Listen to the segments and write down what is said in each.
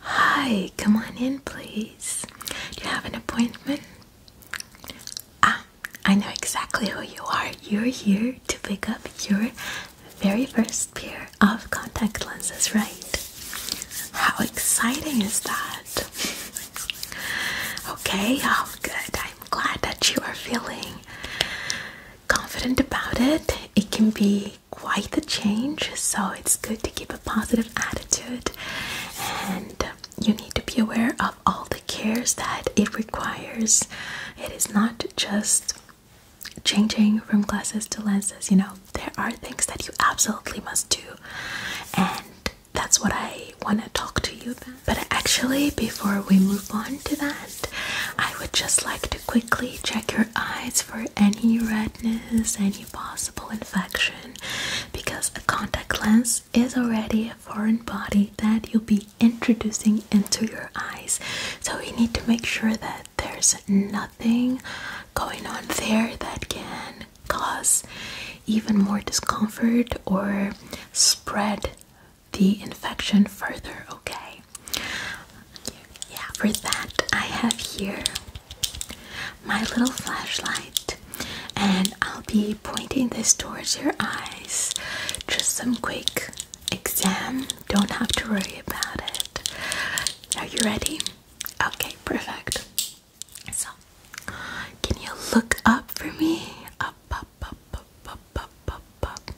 Hi, come on in, please. Do you have an appointment? Ah, I know exactly who you are. You're here to pick up your very first pair of contact lenses, right? How exciting is that? Okay, oh, good. I'm glad that you are feeling confident about it. It can be quite a change, so it's good to keep a positive attitude and you need to be aware of all the cares that it requires. It is not just changing from glasses to lenses, you know, there are things that you absolutely must do, and that's what I want to talk to you about. But actually, before we move on to that, I would just like to quickly check your eyes for any redness, any possible infection, because a contact lens is already a foreign body that you'll be introducing into your eyes. So we need to make sure that there's nothing going on there that can cause even more discomfort or spread the infection further, okay? Yeah, for that, I have here my little flashlight, and I'll be pointing this towards your eyes. Just some quick exam, don't have to worry about it. Are you ready? Okay, perfect. So, can you look up for me? Up, up, up, up, up, up, up,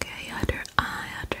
Okay, other eye, other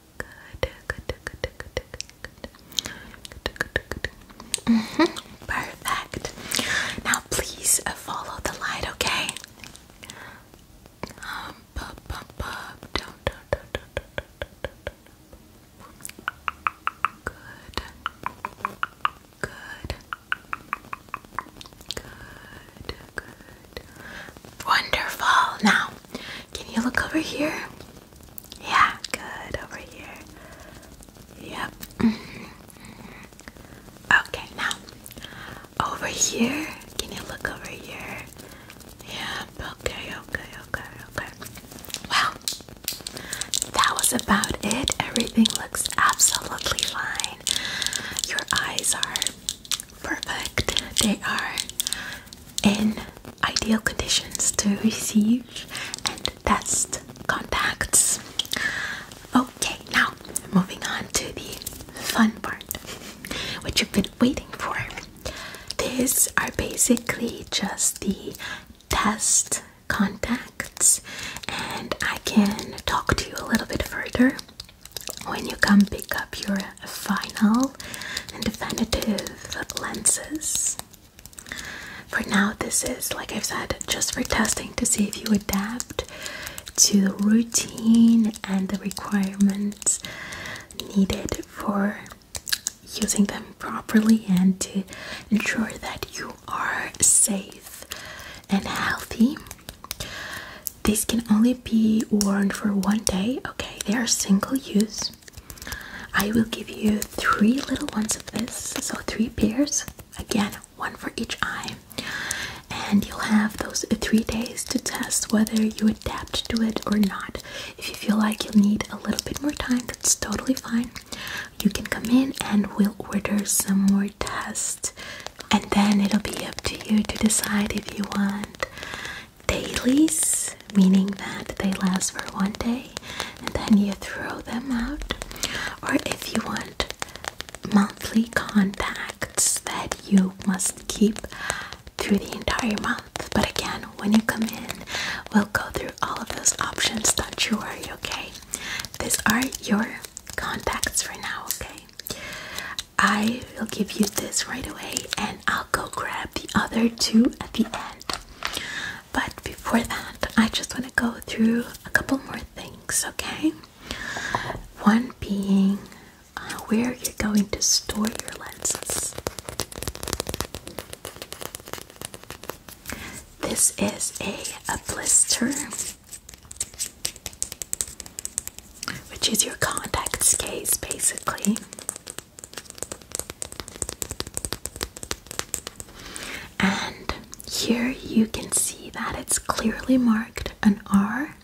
Good, good, good, good, good, good. Good, good, good. Mm mm-hmm. Perfect. Now please follow the light, okay? Um, bub, bub, bub. Down, down, down, down, down, down, down, down. Good. Good. Good. Good. Wonderful. Now, can you look over here? Yeah, good. Over here. Yep. okay, now over here. Can you look over here? Yeah. Okay, okay, okay, okay. Well, that was about it. Everything looks absolutely fine. Your eyes are perfect. They are in ideal conditions to receive and test contacts. Okay, now moving on to the fun part, which you've been waiting for. These are basically just the test contacts, and I can talk to you a little bit further when you come pick up your final and definitive lenses. For now, this is, like I've said, just for testing to see if you adapt to the routine and the requirements needed for using them properly and to ensure that you are safe and healthy. These can only be worn for one day, okay? They are single use. I will give you three little ones of this, so three pairs, again, one for each eye. And you'll have those three days to test whether you adapt to it or not. If you feel like you need a little bit more time, that's totally fine. You can come in and we'll order some more tests. And then it'll be up to you to decide if you want dailies, meaning that they last for one day and then you throw them out, or if you want monthly contacts that you must keep through the entire month. But again, when you come in, we'll go through all of those options. Don't you worry, okay? These are your contacts for now, okay? I will give you this right away and I'll go grab the other two at the end. But before that, I just want to go through a couple more things, okay? One being uh, where you're going to store your lenses. This is a, a blister, which is your contacts case basically. And here you can see that it's clearly marked an R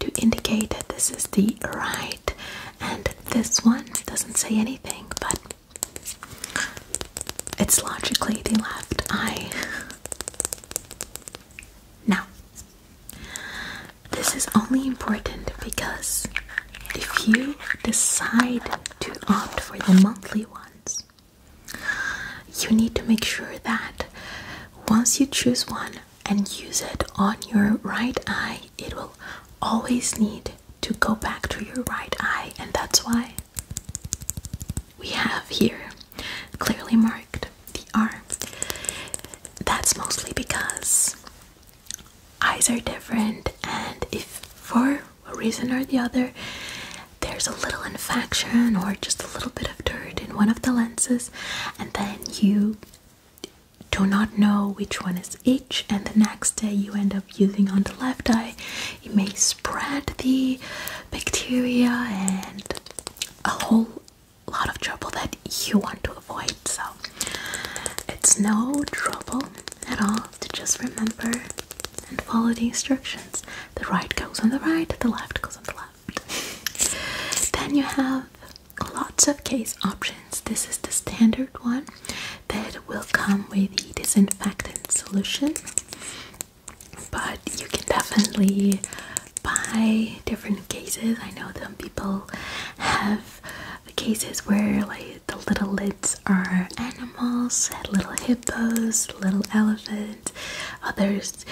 to indicate that this is the right, and this one doesn't say anything, but it's logically the left eye. Now, this is only important because if you decide to opt for the monthly ones, you need to make sure that once you choose one and use it on your right eye, it will always need to go back to your right eye, and that's why we have here clearly marked the arm. That's mostly because eyes are different, and if for a reason or the other there's a little infection or just a little bit of dirt in one of the lenses, and then you do not know which one is each, and the next day you end up using on the left eye, it may spread the bacteria and a whole lot of trouble that you want to avoid. So, it's no trouble at all to just remember and follow the instructions. The right goes on the right, the left goes on the left. Then you have lots of case options. This is the standard one that will come with the disinfectant solution, but you can definitely buy different cases. I know some people have the cases where like the little lids are animals, little hippos, little elephants. Others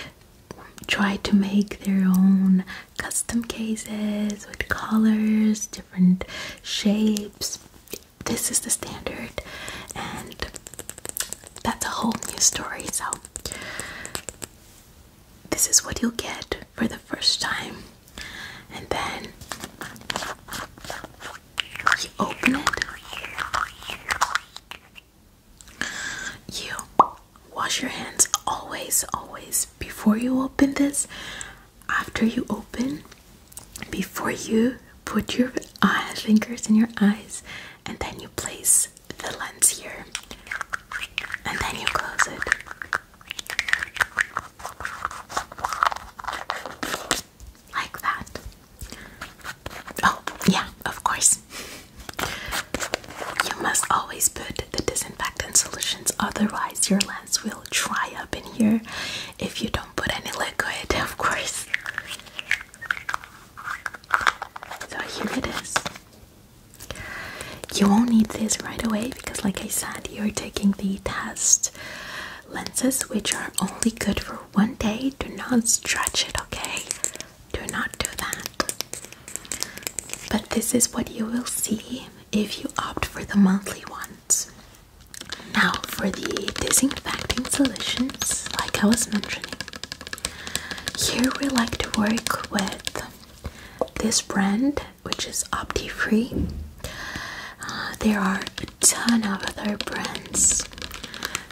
try to make their own custom cases with colors, different shapes. This is the standard, and that's a whole new story. So, this is what you'll get for the first time, and then you open it. You wash your hands always, always before you open this, after you open, before you put your fingers in your eyes, and then you place the lens here, and then you close it. Like that. Oh, yeah, of course. You must always put the disinfectant solutions, otherwise, your lens will dry up in here if you don't put any liquid, of course. So here it is. You won't need this right away because, like I said, you're taking the test lenses, which are only good for one day. Do not stretch it, okay? Do not do that. But this is what you will see if you opt for the monthly ones. Now, for the disinfecting solutions, like I was mentioning, here we like to work with this brand which is OptiFree. Uh, there are a ton of other brands.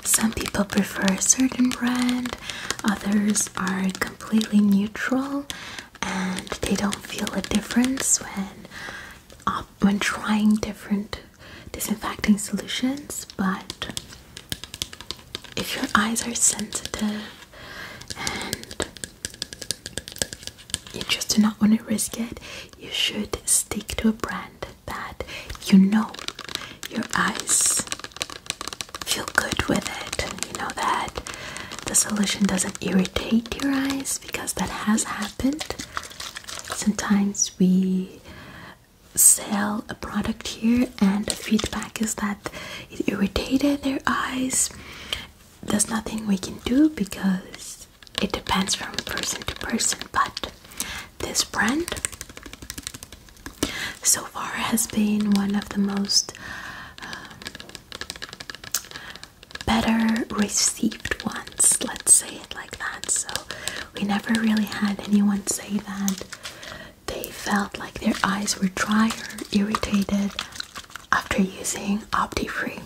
Some people prefer a certain brand, others are completely neutral and they don't feel a difference when when trying different disinfecting solutions, but if your eyes are sensitive you just do not want to risk it, you should stick to a brand that you know your eyes feel good with it. You know that the solution doesn't irritate your eyes because that has happened. Sometimes we sell a product here and the feedback is that it irritated their eyes there's nothing we can do because it depends from person to person but this brand so far has been one of the most um, better received ones let's say it like that so we never really had anyone say that they felt like their eyes were dry or irritated after using OptiFree.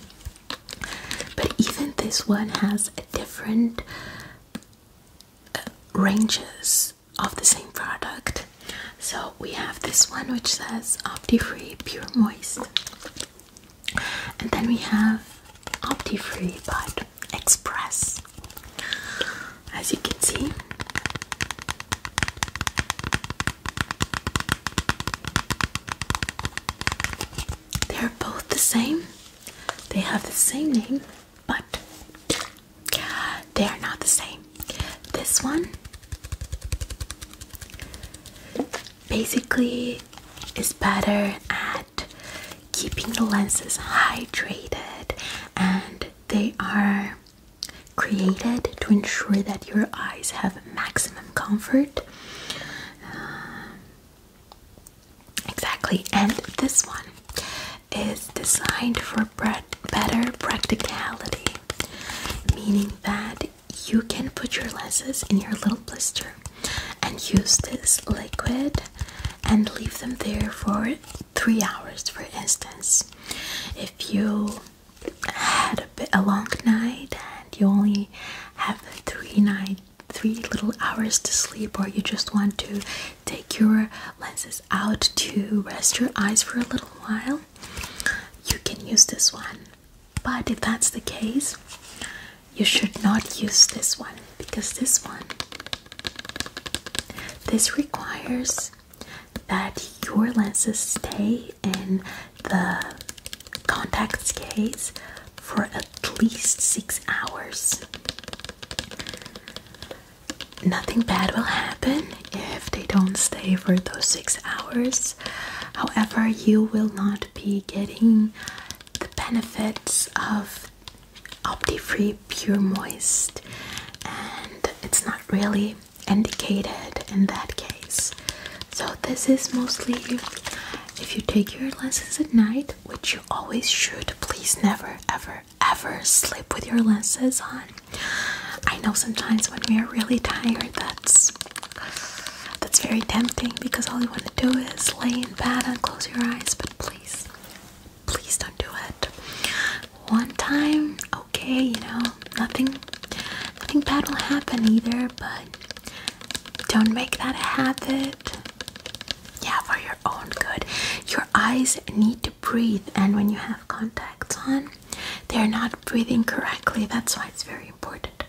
But even this one has different uh, ranges of the same product. So we have this one which says OptiFree Pure Moist. And then we have OptiFree but Express. As you can see, they are both the same. They have the same name, but they are not the same. This one basically is better at keeping the lenses hydrated and they are created to ensure that your eyes have maximum comfort. Uh, exactly, and this one is designed for better practicality, meaning that you can put your lenses in your little blister and use this liquid and leave them there for three hours, for instance. If you had a, long night and you only have three night three little hours to sleep or you just want to take your lenses out to rest your eyes for a little while you can use this one but if that's the case you should not use this one because this one this requires that your lenses stay in the contacts case for at least six hours. Nothing bad will happen if they don't stay for those six hours. However, you will not be getting the benefits of OptiFree Pure Moist, and it's not really indicated in that case. So, this is mostly if you take your lenses at night, which you always should, please never, ever, ever sleep with your lenses on. I know sometimes when we are really tired, that's that's very tempting because all you want to do is lay in bed and close your eyes, but please, please don't do it one time, okay, you know, nothing nothing bad will happen either, but don't make that a habit. Yeah, for your own good. Your eyes need to breathe and when you have contacts on, they're not breathing correctly. That's why it's very important.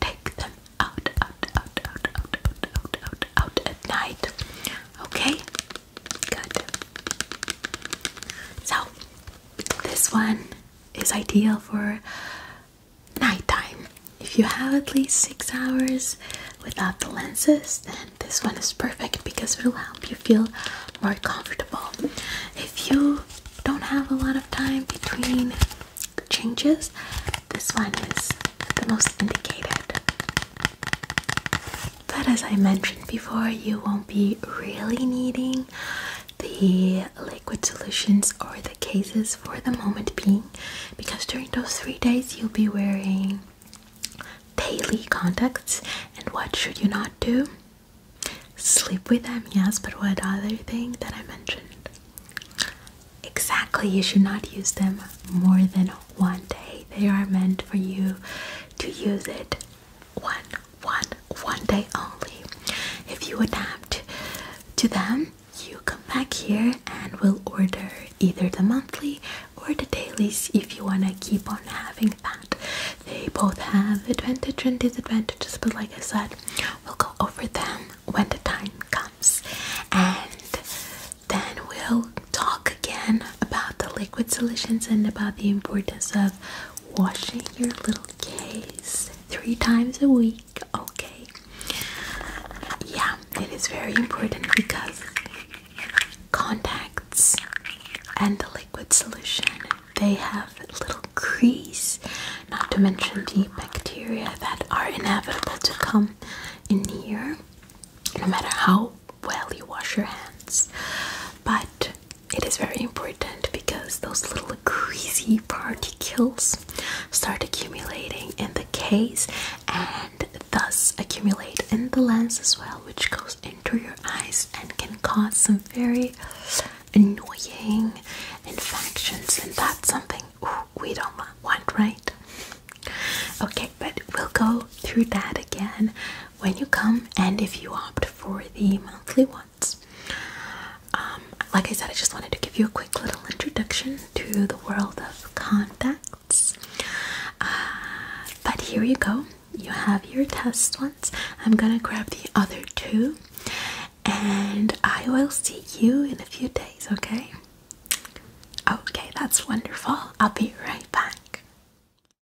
Take them out, out, out, out, out, out, out, at night. Okay? Good. So, this one is ideal for nighttime. If you have at least six hours without the lenses, then this one is perfect because it will help you feel more comfortable. If you don't have a lot of time between changes, this one is the most indicated. But as I mentioned before, you won't be really needing the liquid solutions or the cases for the moment being because during those three days you'll be wearing daily contacts. And what should you not do? Sleep with them, yes, but what other thing that I mentioned? Exactly, you should not use them more than one day. They are meant for you to use it one one one day only. If you adapt to them, you come back here and we'll order either the monthly or the dailies if you wanna keep on having that. They both have advantages and disadvantages, but like I said, we'll go over them when the time comes. And then we'll talk again about the liquid solutions and about the importance of washing your little case three times a week, okay? Yeah, it is very important because contacts and the liquid solution they have little crease, not to mention the bacteria that are inevitable to come in here no matter how well you wash your hands. But it is very important because those little greasy particles start accumulating in the case and thus accumulate in the lens as well, which goes into your eyes and can cause some very annoying infections. And that's something we don't want, right? Okay, but we'll go through that again when you come and if you opt for the monthly ones. Um, like I said, I just wanted to give you a quick little introduction to the world of contacts. Uh, but here you go. You have your test ones. I'm gonna grab the other two and I will see you in a few days, okay? Okay, that's wonderful. I'll be right back.